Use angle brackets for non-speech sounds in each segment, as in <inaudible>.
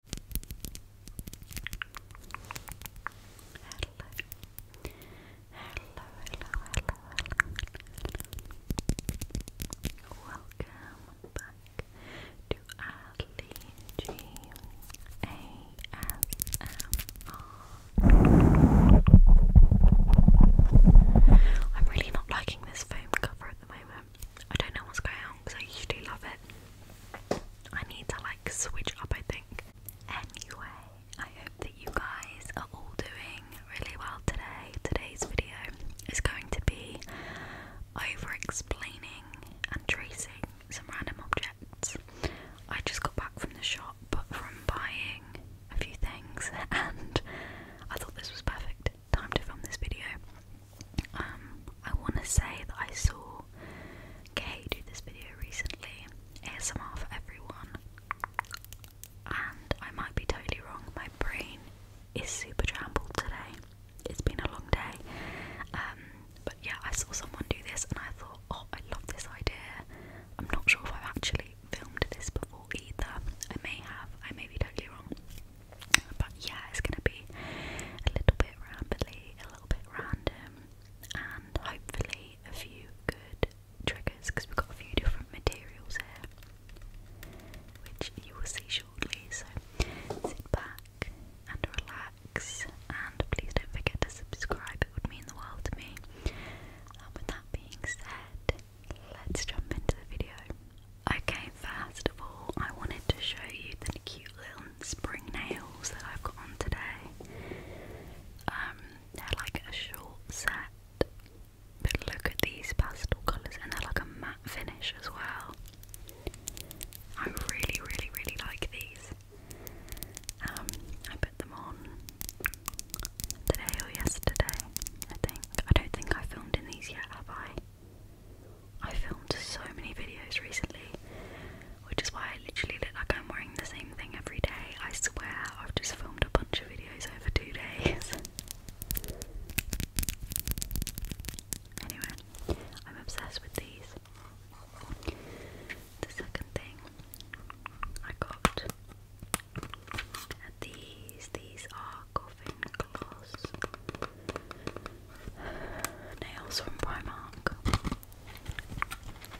hello, hello, hello. Welcome back to Adley G A S M R. I'm really not liking this foam cover at the moment. I don't know what's going on because I usually love it. I need to like switch up, I think. Anyway, I hope that you guys are all doing really well today. Today's video is going to be over explaining and tracing some random objects. I just got back from the shop from buying a few things <laughs> and I thought this was perfect time to film this video. Um, I want to say that I saw Kay do this video recently, ASMR for everyone, and I might be totally wrong. My brain is super trampled today. It's been a long day, um, but yeah, I saw someone do this, and I thought, oh, I love this idea. I'm not sure if I've actually filmed this before either. I may have. I may be totally wrong. But yeah, it's gonna be a little bit rambly, a a little bit random, and hopefully a few good triggers because we've got a few different materials here, which you will see shortly. So sit back and relax, and please don't forget to subscribe, it would mean the world to me. And with that being said, let's jump into the video. Okay, first of all, I wanted to show you the cute little spring nails that I've got on today. Um, they're like a short set, but look at these pastel colours, and they're like a matte finish as well. I really, really, really like these. Um, I put them on today or yesterday, I think. I don't think I filmed in these yet, have I? I filmed so many videos recently, which is why I literally look like I'm wearing the same thing every day. I swear, I've just filmed a bunch of videos over two days. anyway, I'm obsessed with these. The second thing I got are these. These are coffin gloss nails from Primark.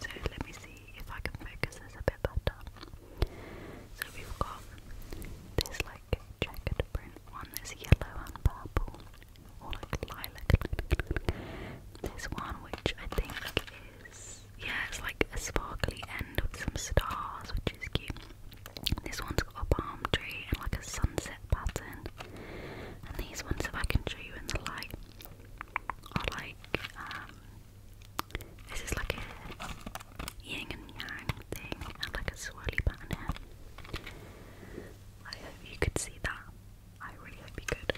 So let me see if I can focus this a bit better. So we've got this like checkered print one, this yellow and purple, or like lilac. This one, which I think is yeah, it's like a sparkly end with some stars, which is cute. This one's got a palm tree and like a sunset pattern. And these ones, if I can show you in the light, are like, um, this is like a yin and yang thing, and like a swirly pattern I hope you could see that. I really hope you could.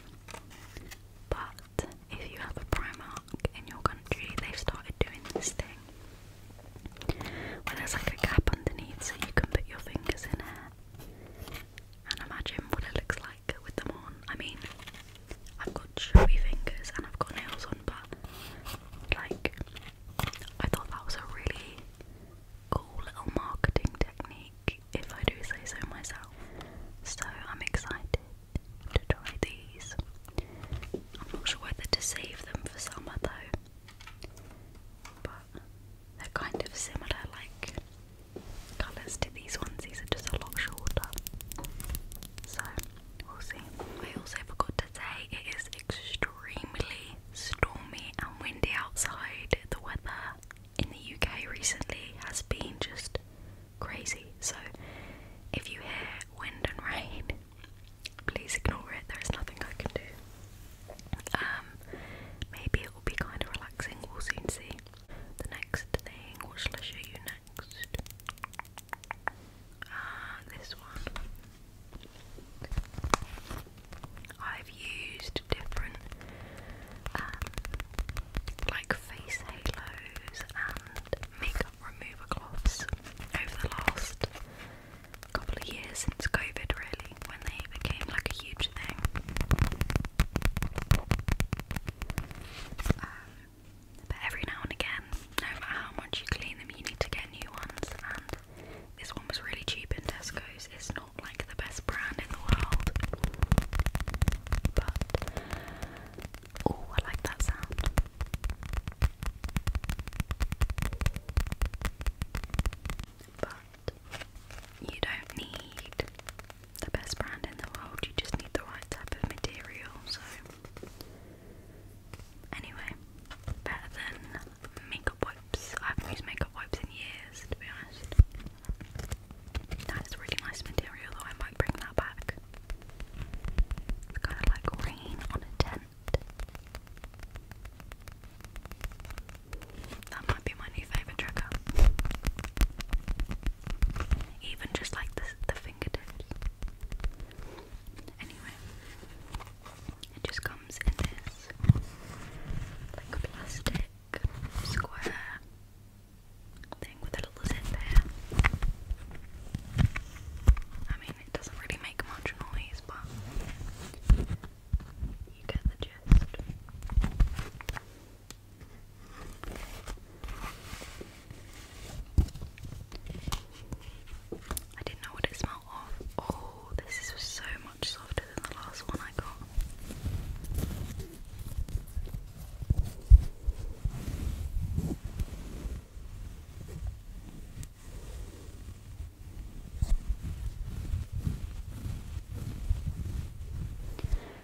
But if you have a Primark in your country, they've started doing this thing where there's like a gap underneath so you can put your fingers in it and imagine what it looks like with them on. I mean, I've got chubby fingers and I've got nails on, but like, I thought that was a really cool little marketing technique, if I do say so myself. So I'm excited to try these. I'm not sure whether to save them for summer though, but they're kind of similar, like colours to these ones. These are just a lot shorter. So we'll see. I also forgot to say it is extremely stormy and windy outside. The weather in the UK recently has been just crazy. So if you hear wind and rain, please ignore it. There is nothing I can do. Um, maybe it will be kind of relaxing, we'll soon see. The next thing, what shall I show you next? Ah, this one. I've used different, um, like face halos and makeup remover cloths over the last couple of years since COVID, really, when they became like a huge thing. Um, but every now and again, no matter how much you clean them, you need to get new ones. And this one was really cheap in Tesco's. It's not like the best brand in the world, but oh, I like that sound you don't need the best brand in the world, you just need the right type of material. So, anyway, better than makeup wipes. I haven't used makeup wipes in years, to be honest. That is really nice material, though. I might bring that back. kind of like rain on a tent. That might be my new favourite trigger. Even just like the, the fingertips. Anyway, it just comes in this like plastic square thing with a little zip here. I mean, it doesn't really make much noise, but you I didn't know what it smelled of. Oh, this is so much softer than the last one I got.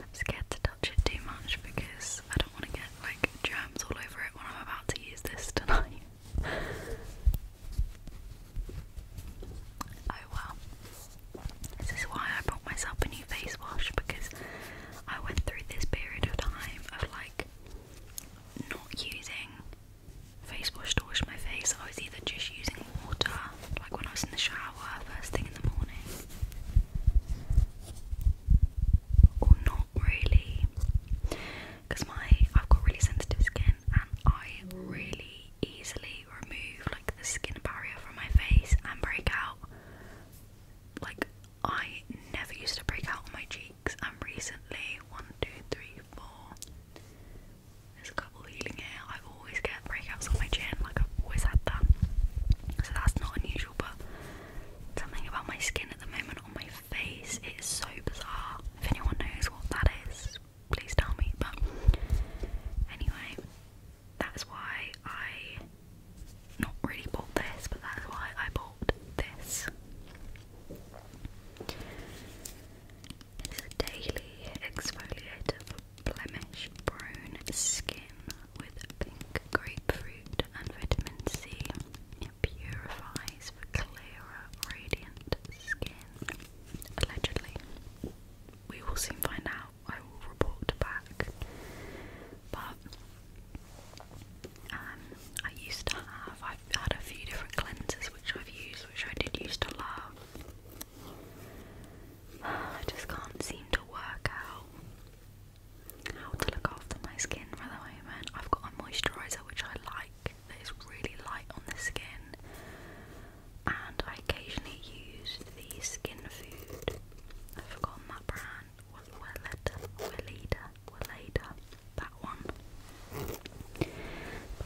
I'm scared to touch it too much because I don't want to get like germs all over it when I'm about to use this tonight. <laughs> oh well. This is why I bought myself a new face wash because I went through this period of time of like not using face wash to wash my face. I was either just using water, like when I was in the shower first thing in the morning. Or not really, because my I've got really sensitive skin and I really easily remove like the skin barrier from my face and break out. Like I never used to break out on my cheeks, and recently one, two, three, four. There's a couple healing here. I always get breakouts on my chin, like I've always had that. So that's not unusual, but something about my skin at the moment on my face is so bizarre. If anyone knows what that is, please tell me. But anyway, that's why I not really bought this, but that's why I bought this. It's a daily exfoliator blemish brown skin with pink grapefruit and vitamin C. It purifies for clearer, radiant skin. Allegedly. We will soon find out. I will report back. But um, I used to have, I've had a few different cleansers which I've used, which I did used to love. Ah, I just can't seem to work out how to look after my skin for the moment. I've got a moisturiser which I like that is really light on the skin, and I occasionally use the Skin Food. I've forgotten that brand. Welleda, Welleda, Welleda, that one.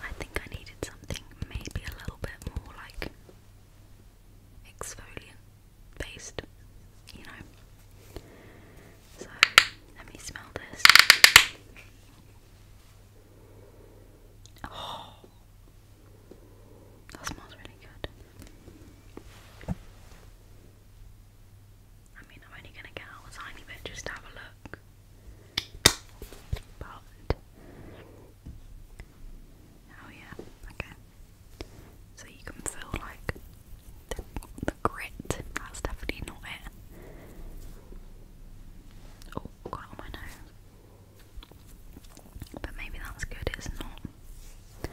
I think I needed something maybe a little bit more like exfoliant based, you know. So let me smell this. Oh, that smells really good. I mean, I'm only gonna get a tiny bit just have a look, but Oh yeah, okay. So you can feel like the, grit. That's definitely not it. Oh, got on my nose. But maybe that's good, it's not.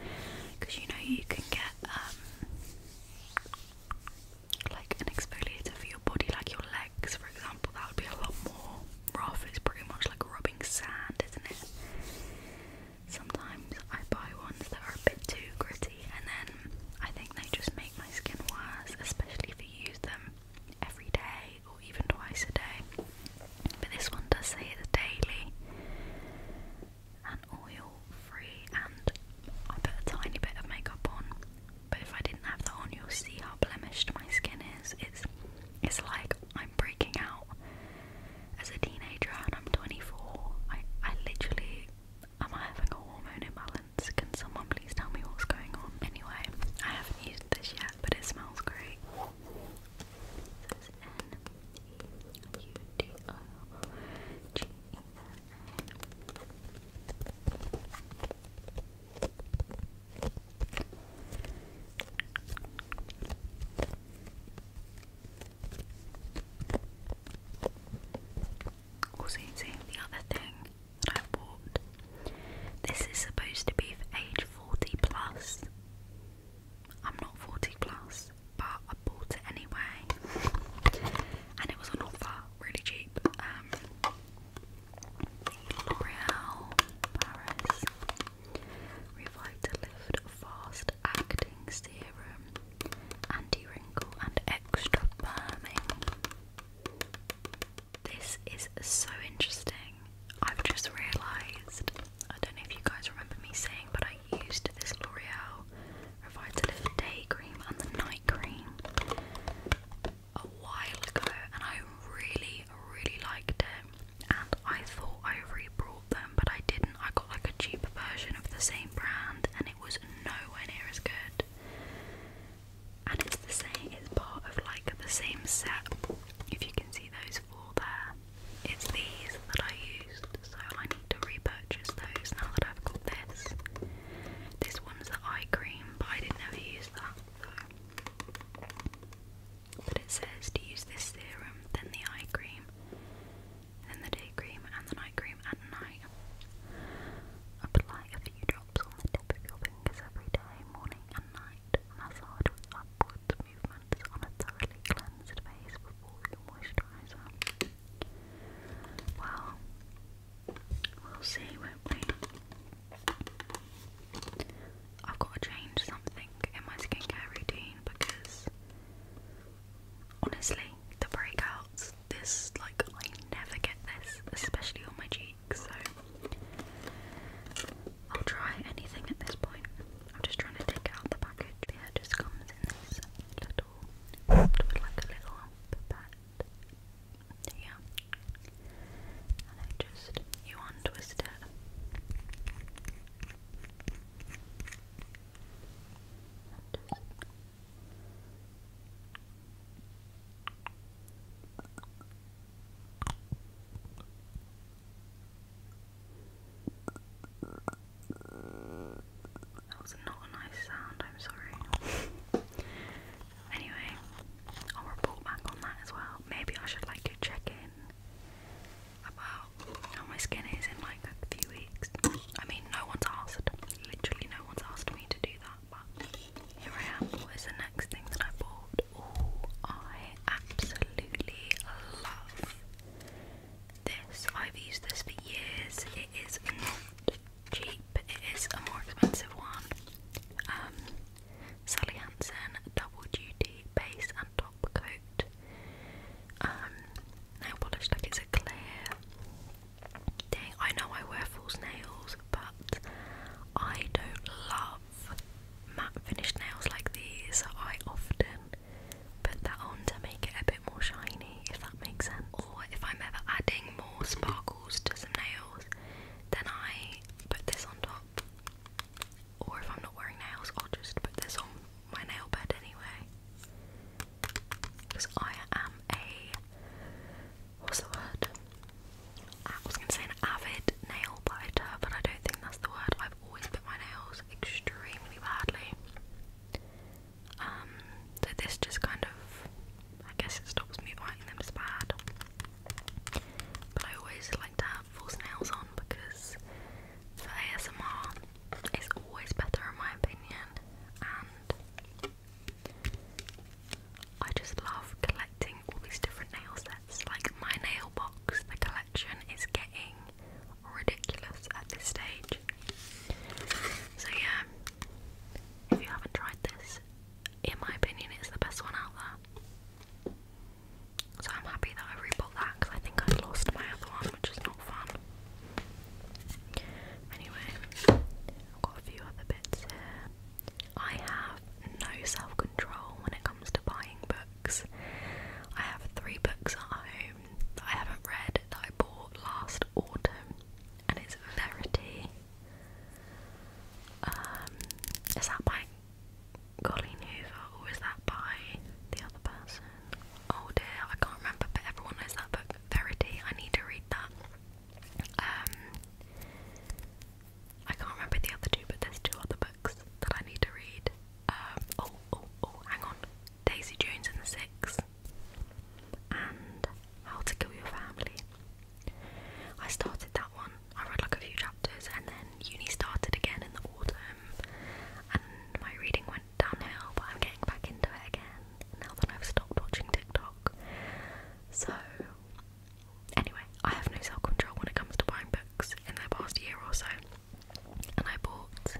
Because you know you can get um, like an exfoliator for your body, like your legs, for example. That would be a lot more rough. It's pretty much like rubbing sand, isn't it? Sometimes I buy ones that are a bit too gritty, and then I think they just make my skin worse, especially if you use them every day or even twice a day. But this one does say it's daily and oil free, and I put a tiny bit of makeup on. But if I didn't have that on, you'll see how blemished my skin is. It's it's like I'm breaking out as a teenager and I'm 24. I, I literally am I having a hormone imbalance? Can someone please tell me what's going on? Anyway, I haven't used this yet, but it smells great. Also, the other thing that I bought. This is supposed to be for age 40 plus. I'm not 40 plus, but I bought it anyway. And it was on offer, really cheap. Um, L'Oreal Paris Revitalift Fast Acting Serum, Anti Wrinkle and Extra Firming. This is so interesting. I've just realised, I don't know if you guys remember me saying, but I used this L'Oreal Revitalift Day Cream and the Night Cream a while ago and I really, really liked it and I thought I re-brought them, but I didn't. I got like a cheaper version of the same brand, and it was nowhere near as good. And it's the same, it's part of like the same set. If you can see those four there, it's these that I used, so I need to repurchase those now that I've got this. This one's the eye cream, but I didn't ever use that. So but it says to use this serum, then the eye cream, then the day cream, and the night cream at night. Apply a few drops on the tip of your fingers every day, morning and night. Massage with upwards movements on a thoroughly cleansed face before your moisturiser. Well, we'll see, won't we will see will we I've got to change something in my skincare routine because honestly, the breakouts, this, like, I never get this, especially on my cheeks, so I'll try anything at this point. I'm just trying to take out the package. just comes in this little, like a little pipette. Yeah. And I just, you untwist it. That was not a nice sound, I'm sorry. anyway, I'll report back on that as well. Maybe I should like to check in about how oh, my skin is in like a few weeks. I mean, no one's asked. Literally, no one's asked me to do that. But here I am. What is the next thing that I bought? Oh, I absolutely love this. I've used this for years. It is not cheap. It is a more expensive one. Um, Sally Hansen double duty base and top coat. Um, nail polish like it's a clear thing. I know I wear false nails, but I don't love matte finished nails like these, I often put that on to make it a bit more shiny, if that makes sense. Or if I'm ever adding more sparkles to some nails, then I put this on top. Or if I'm not wearing nails, I'll just put this on my nail bed anyway. Because I am a. What's the word? I was going to say an avid nail biter, but I don't think that's the word. I've always bit my nails extremely badly. Um, so this just kind of. I guess it stops me biting them as bad. But I always like to have false nails on because for ASMR it's always better in my opinion and I just love collecting all these different nail sets. Like my nail box, the collection is getting ridiculous at this stage. So yeah, if you haven't tried this, in my opinion it's the best one out there. So I'm happy that I rebought that because I think I lost my other one, which is not fun. Anyway, I've got a few other bits here. I have no self control when it comes to buying books. I have three books at home that I haven't read that I bought last autumn, and it's Verity. Um, is that by Colleen Hoover, or is that by the other person? Oh dear, I can't remember, but everyone knows that book, Verity. I need to read that. Um, I can't remember the other two, but there's two other books that I need to read. Um, oh, oh, oh, hang on. Daisy Jones and the Six, and How to Kill Your Family. I started that one. I read like a few chapters, and then uni started again in the autumn, and my reading went downhill, but I'm getting back into it again now that I've stopped watching TikTok. So, anyway, I have no self control when it comes to buying books in the past year or so, and I bought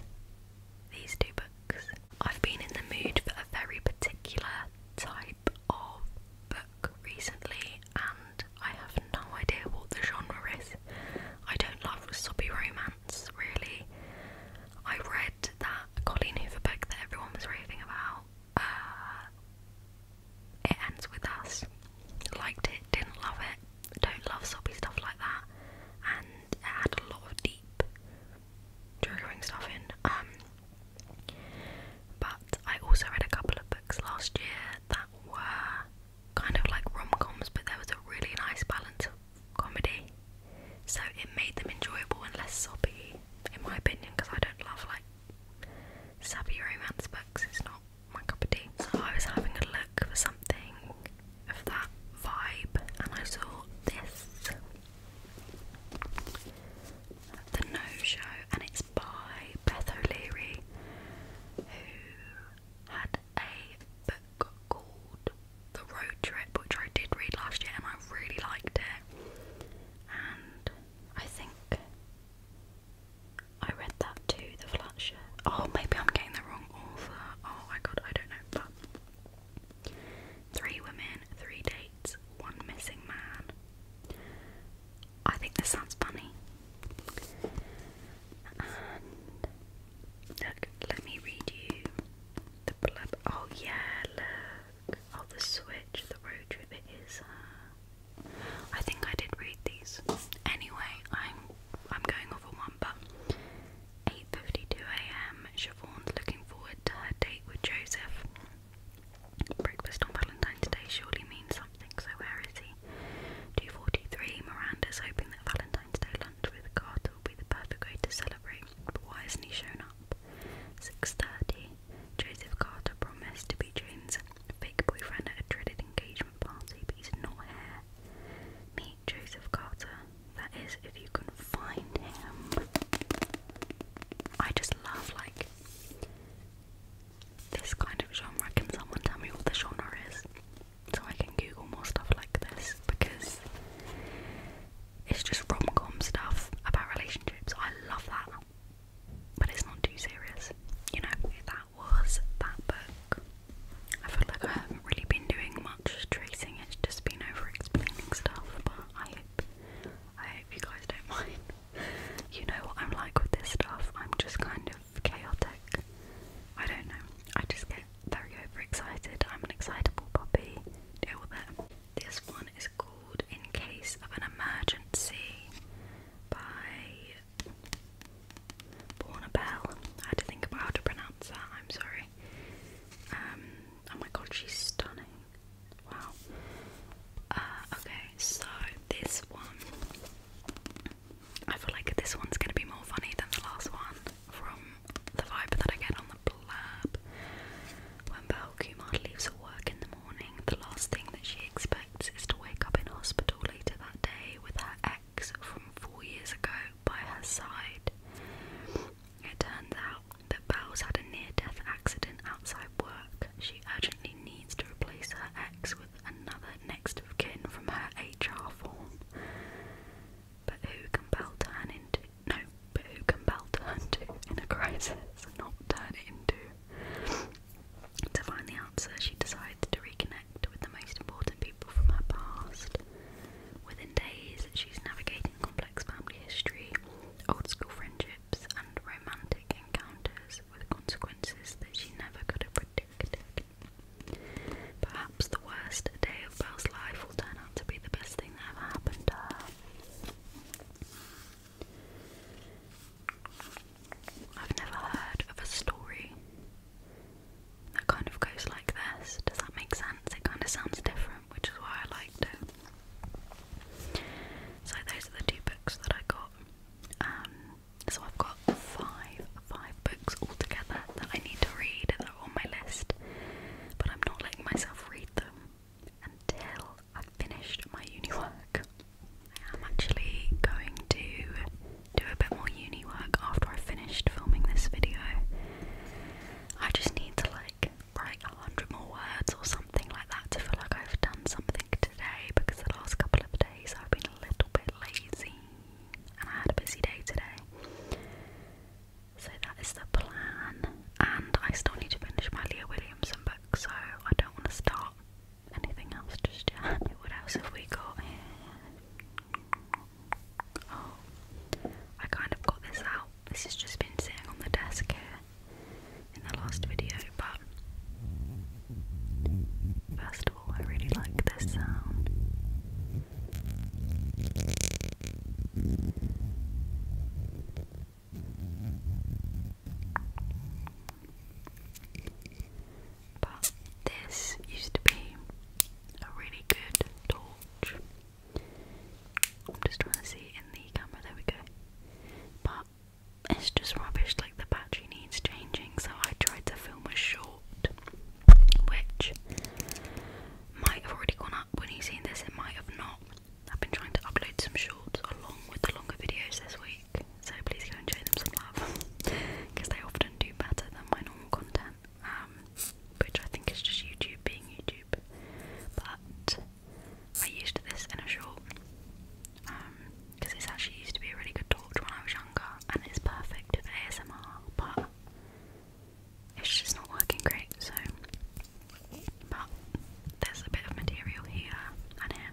these two books. I've been in the mood for a very particular type of book recently, and I have no idea what the genre is. I don't love soppy romance, really. I read that Colleen Hoover book that everyone was raving about. Uh, it ends with us. Liked it, didn't love it. Don't love soppy stuff like that. And it had a lot of deep triggering stuff in. Um, but I also read a couple of books last year that were kind of like rom coms, but there was a really nice balance of comedy, so it made them enjoyable and less soppy, in my opinion. Because I don't love like sappy romance books; it's not my cup of tea. So I was having a look for something of that vibe, and I saw this. The No Show, and it's by Beth O'Leary, who had a book called The Road Trip, which I did read last year and I really liked it. And I think I read that to the Flatshire. Oh, maybe I'm getting the wrong author. Oh my god, I don't know. But three women, three dates, one missing man. I think this sounds funny look, let me read you the blub. Oh, yeah, look. Oh, the switch, the road trip, it is. I think I did read these. Anyway, I'm I'm going off one, but 8:52 a.m. Siobhan's looking forward to her date with Joseph. Breakfast on Valentine's Day surely means something. So where is he? 2.43 Miranda's hoping that Valentine's Day lunch with Carter will be the perfect way to celebrate, but why hasn't he shown up? 6.30 Joseph Carter promised to be Jane's fake boyfriend at a dreaded engagement party, but he's not here. Meet Joseph Carter. That is, if you can find him. I just love, like, this kind of genre. Can someone tell me what the genre is? so I can Google more stuff like this because it's just rom com stuff about relationships. I love that, but it's not too serious, you know. That was that book. I feel like I haven't really been doing much tracing, it's just been over explaining stuff, but I hope I hope you guys don't <laughs> mind. You know what I'm like with this stuff, I'm just kind of chaotic. I don't know. I just get very overexcited. I'm an excitable puppy. Deal with it. This one is called In Case of an Emergency by Borna had to think about how to pronounce that, I'm sorry. Um oh my god, she's stunning. Wow. Uh, okay, so this one I feel like this one's gonna be more funny than the last one from the vibe that I get on the blab. When Belle Kumar leaves work in the morning, the last thing that she expects is to wake up in hospital later that day with her ex from four years ago by her side. It turns out that Belle's had a near death accident outside work. She urgently needs to replace her ex with another next of kin from her HR form. But who can Belle turn into? No, but who can Belle turn to in a crisis? Not turn into. To find the answer, she decides to reconnect with the most important people from her past. Within days, she's navigating complex family history, old school friendships, and romantic encounters with consequences that she never could have predicted. Perhaps the worst day of Belle's life will turn out to be the best thing that ever happened to her. I've never heard of a story that kind of goes like this. Does that make sense? It kind of sounds different, which is why I liked it. So, those are the two books that I got. Um, so, I've got five five books altogether that I need to read that are on my list, but I'm not letting myself read them until I've finished my uni work. I am actually going to do a bit more uni work after I've finished filming this video. I just need to like write a hundred more words or something like that to feel like I've done something today because the last couple of days I've been a little bit lazy and I had a busy day today. So that is the plan, and I still need to finish my Leah Williamson book, so I don't want to start anything else just yet. What else have we got here? Oh, I kind of got this out. This has just been sitting on the desk here in the last video, but first Oh, I really like this sound. But this used to be a really good torch. I'm just trying to see in the camera, there we go. But it's just rubbish, like the battery needs changing, so I tried to film a short which might have already gone up when you've seen this, it might have not. I've been trying to upload some shorts along with the longer videos this week, so please go and them some love because <laughs> they often do better than my normal content, um, which I think is just YouTube being YouTube. But I used this in a short because um, this actually used to be a really good torch when I was younger and it's perfect for ASMR, but it's just not working great, so but there's a bit of material here and here.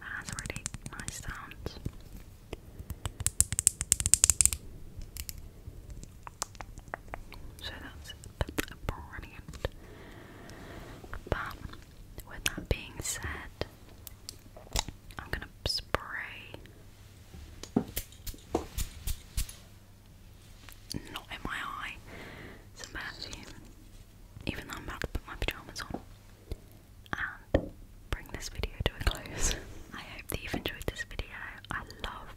That really nice sound. So that's, that's brilliant. But with that being said, I'm gonna spray. Not in my eye. Some perfume. Even though I'm about to put my pyjamas on. And bring this video to a close. <laughs> I hope that you've enjoyed this video. I love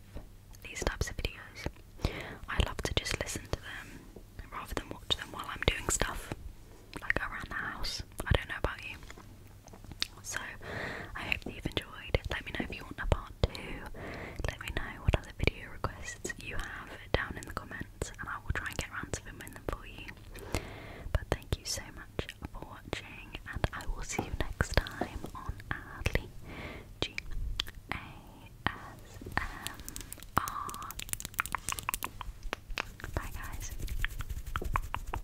these types of videos. I love to just listen to them rather than watch them while I'm doing stuff. Like around the house. I don't know about you. So I hope that you've enjoyed. Let me know if you want a part two. Let me know what other video requests you have down in the comments and I will try and get around to filming them for you. But thank you so much for watching and I will see you next time on Adley G A S M R. Bye guys.